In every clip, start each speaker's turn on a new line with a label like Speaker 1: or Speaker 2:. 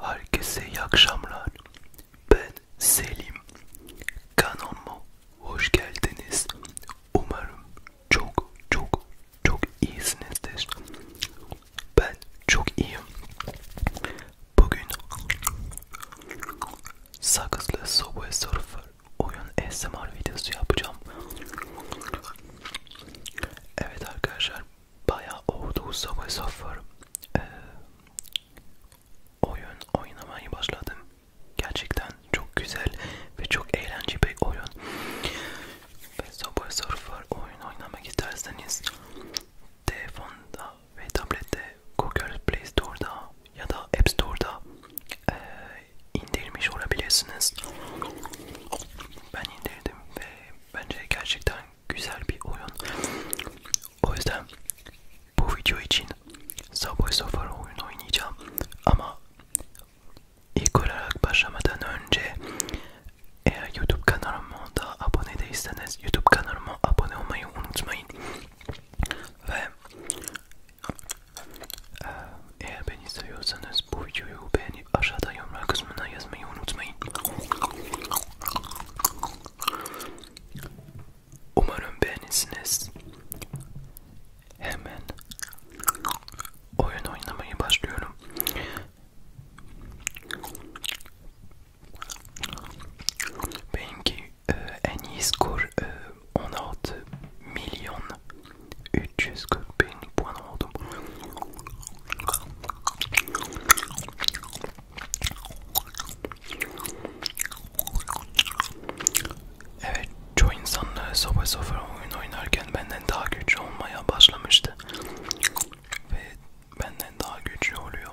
Speaker 1: Herkese iyi akşamlar. Ben Selim. Kanalıma hoş geldiniz. Umarım çok çok çok iyisinizdir. Ben çok iyiyim. Bugün sakızlı Subway Surfer oyun ASMR videosu yapacağım. Evet arkadaşlar bayağı oldu Subway Surfer ee, oyun oynamaya başladım. Gerçekten çok güzel ve çok eğlenceli bir oyun. Ve Subway Surfer oyun oynamak isterseniz telefonda ve tablette Google Play Store'da ya da App Store'da e, indirmiş olabilirsiniz. Ben indirdim ve bence gerçekten güzel bir oyun. O yüzden bu video için Subway Surfer oyunu oynayacağım ama ilk olarak başlamadan önce eğer YouTube kanalıma da abone değilseniz YouTube kanalıma abone olmayı unutmayın. Ve eğer beni seviyorsanız bu videoyu beğenip aşağıda yorumlar kısmına yazmayı unutmayın. Umarım beğenirsiniz. Hemen oyun oynamaya başlıyorum. Benimki ee, en iyi skor 16 e, milyon 340 bin puan oldum. Evet, çoğu insanlar e, sabah sabah oyun oynarken benden daha güçlü olmaya başlamıştı ve benden daha güçlü oluyor.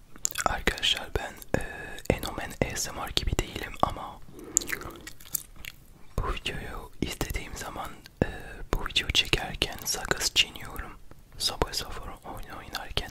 Speaker 1: Arkadaşlar ben e, Enomen ASMR gibi değilim ama bu videoyu izlediğim zaman e, bu videoyu çekerken sakız çiğniyorum. Sabah sabah oyun oynarken.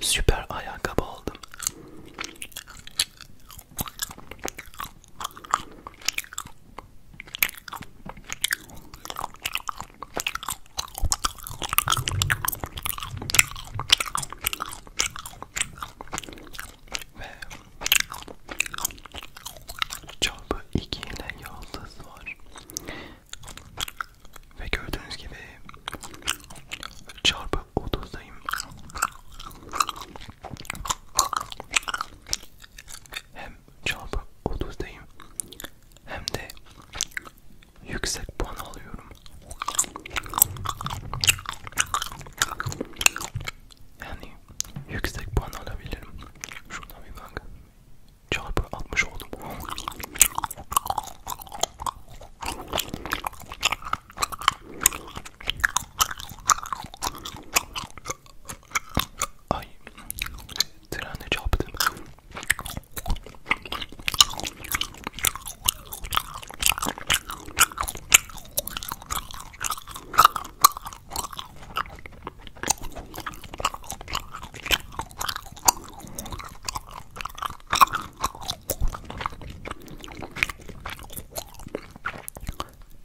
Speaker 1: Süper ayakkabı aldım. Ve çarpı iki ile yıldız var. Ve gördüğünüz gibi çarpı 30'dayım. Hem çarpı 30'dayım hem de yüksek puan alıyorum. Yani yüksek puan alabilirim. Şuradan bir bak çarpı 60 oldum. Ay trene çarptım.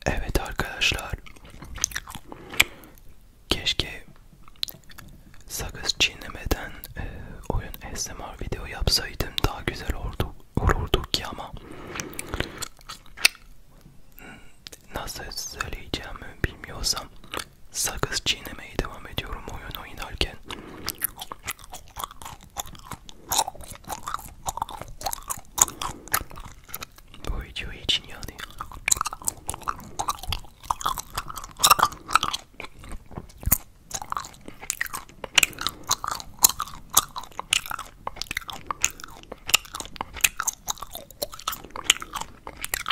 Speaker 1: Evet arkadaşlar. Keşke sakız çiğnemeden e, oyun ASMR video yapsaydım daha güzel olurdu, olurdu ki ama hmm, nasıl söyleyeceğimi bilmiyorsam sakız çiğnemeye devam ediyorum oyun oynarken. Bu video için yani.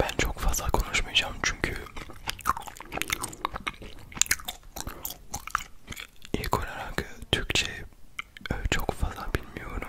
Speaker 1: Ben çok fazla konuşmayacağım çünkü ilk olarak Türkçe e, çok fazla bilmiyorum.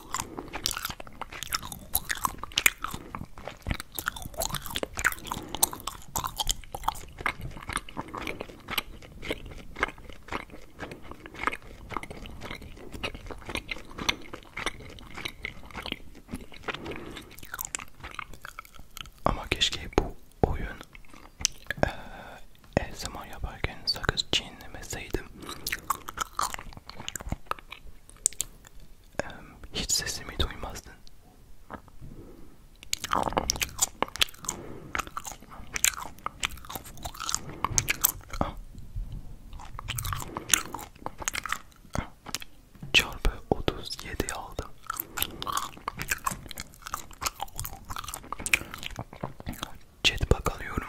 Speaker 1: Ama keşke bu oyun e, her zaman yaparken sakız çiğnemeseydim hiç sesimi duymazdın. Çarpı 37 aldım. Chat bakalıyorum.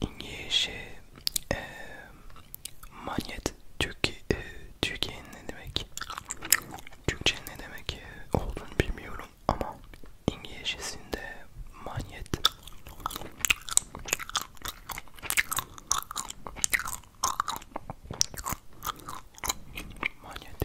Speaker 1: İngilizce e, manyet Türkiye e, Türkiye'nin ne demek? Türkçe ne demek e, olduğunu bilmiyorum ama İngilizcesinde manyet manyet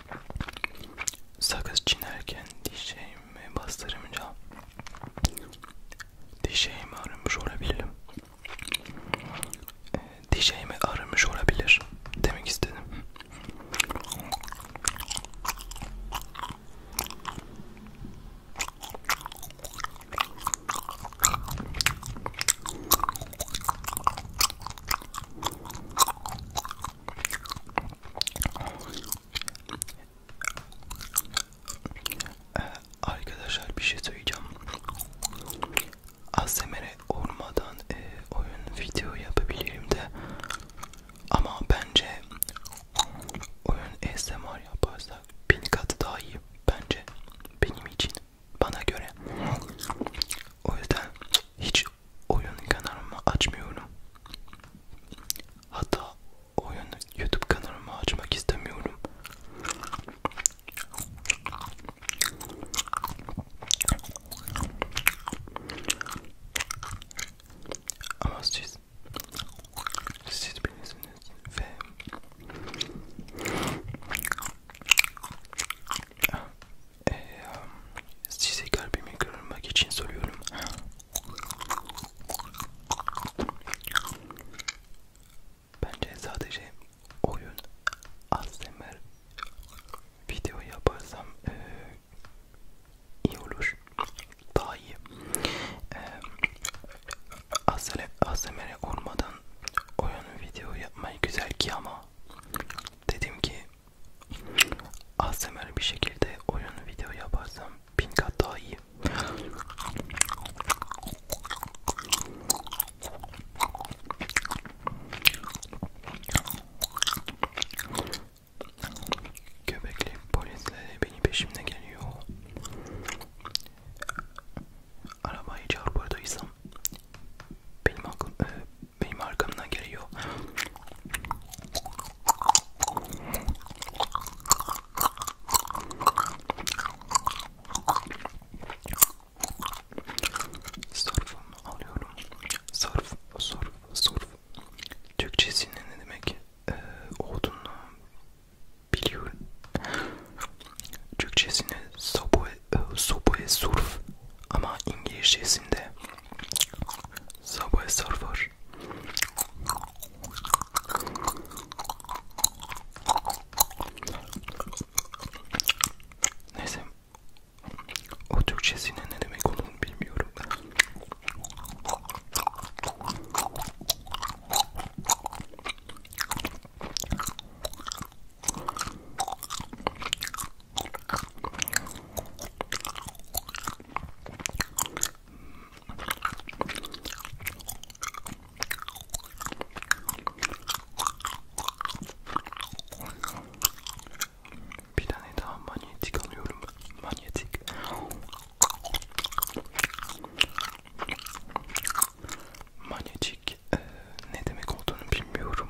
Speaker 1: Sakız çiğnerken dişeğimi bastırınca dişeğimi aramış olabilirim. E, ee, dişeğimi aramış olabilir demek istedim. Ee, arkadaşlar bir şey söyleyeceğim. ASMR'e olmadan e, oyun video yapabilirim de ama bence oyun ASMR yaparsak bin katı daha iyi bence benim için bana göre. O yüzden hiç hiç oyun kanalımı açmıyorum. Hatta oyun YouTube kanalımı açmak istemiyorum. Ama siz siz bilirsiniz ve e, size kalbimi kırmak için soruyorum. Bence sadece oyun ASMR video yaparsam e, iyi olur. Daha iyi. E, ee, ASMR olmadan oyun video yapmayı güzel ki ama dedim ki ASMR bir şekilde oyun video yaparsam bin kat daha iyi. Köpekli polisleri beni peşimde geliyor. Arabayı çarpırdıysam benim hakkım, e, ee, benim arkamdan geliyor. Sarfımı alıyorum. Sarf, sarf, sarf. Türkçesi ne demek ee, olduğunu biliyorum. Türkçesini soboe, soboe surf ama İngilizcesinde Subway Surfer Neyse o Türkçesine ne demek olduğunu bilmiyorum bir tane daha manyetik alıyorum. Manyetik. Manyetik e, ne demek olduğunu bilmiyorum.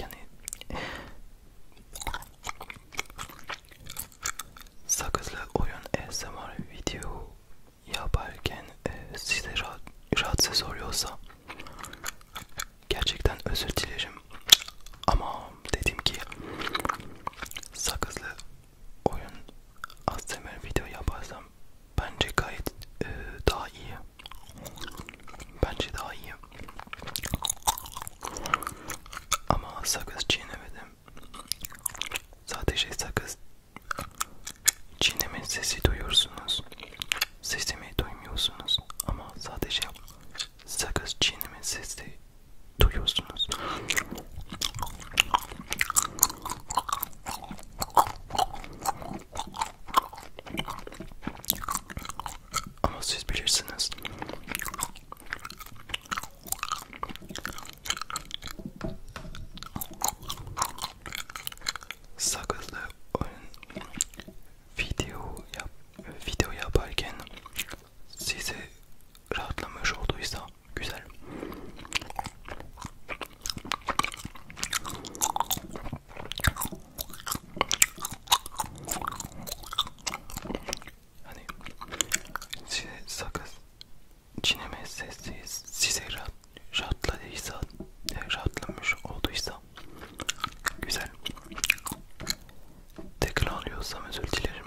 Speaker 1: yani sakızlı oyun ASMR video yaparken e, size rahat, rahatsız oluyorsa gerçekten özür dilerim ama dedim ki sakızlı oyun ASMR video yaparsam bence gayet e, daha iyi Bence daha iyi. Ama sakız çiğnemedim. Sadece sakız çiğneme sesi duyuyorsunuz. Sesimi duymuyorsunuz. Ama sadece sakız çiğneme sesi duyuyorsunuz. Oh, siz bilirsiniz. Sakızlı si video yap video yaparken rahatlamış olduysa Hani size şey, sakız çiğneme sesi size rahat, rahatladıysa, e, rahatlamış olduysa güzel. Tekrarlıyorsam özür dilerim.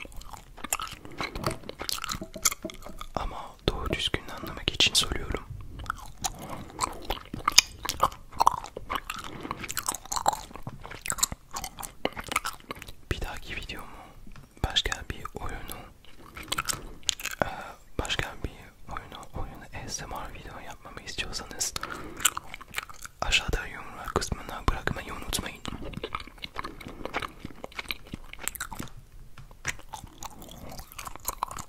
Speaker 1: Ama doğru düzgün anlamak için soruyorum. Bir dahaki videomu başka bir oyunu başka bir oyunu oyunu ASMR video yapmamı istiyorsanız aşağıda yorumlar kısmına bırakmayı unutmayın.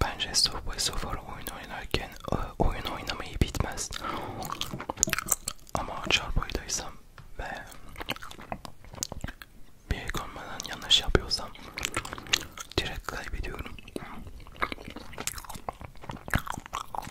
Speaker 1: Bence Subway Surfer oyun oynarken e, oyun oynamayı bitmez. Ama çarpıydaysam ve bir konumadan yanlış yapıyorsam direkt kaybediyorum.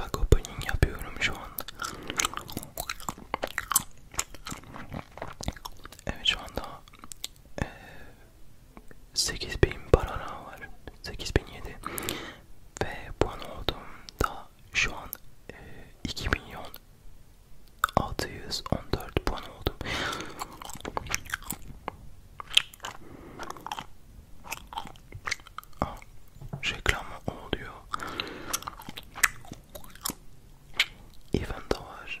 Speaker 1: Bak opening yapıyorum şu an. Evet şu anda e, 8000 barana var 8007 ve puan olduğumda şu an e, 2 milyon 614 puan oldum Aa, ah, reklama oluyor event de var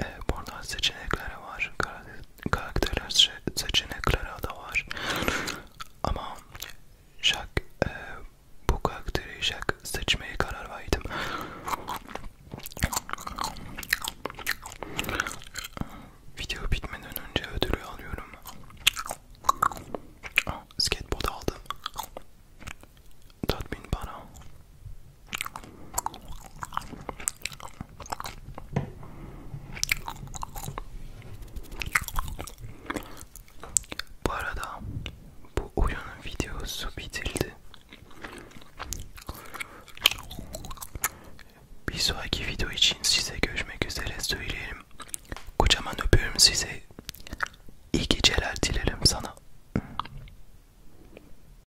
Speaker 1: e, buradan seçenekleri var karakterler seçenekleri da var ama şak e, bu karakteri şak seçmeye karar verdim video bitmeden önce ödülü alıyorum ah, skateboard aldım tatmin bana bu arada bu oyunun videosu bitildi. Bir sonraki video için size görüşmek üzere söyleyelim. Kocaman öpüyorum size. İyi geceler dilerim sana.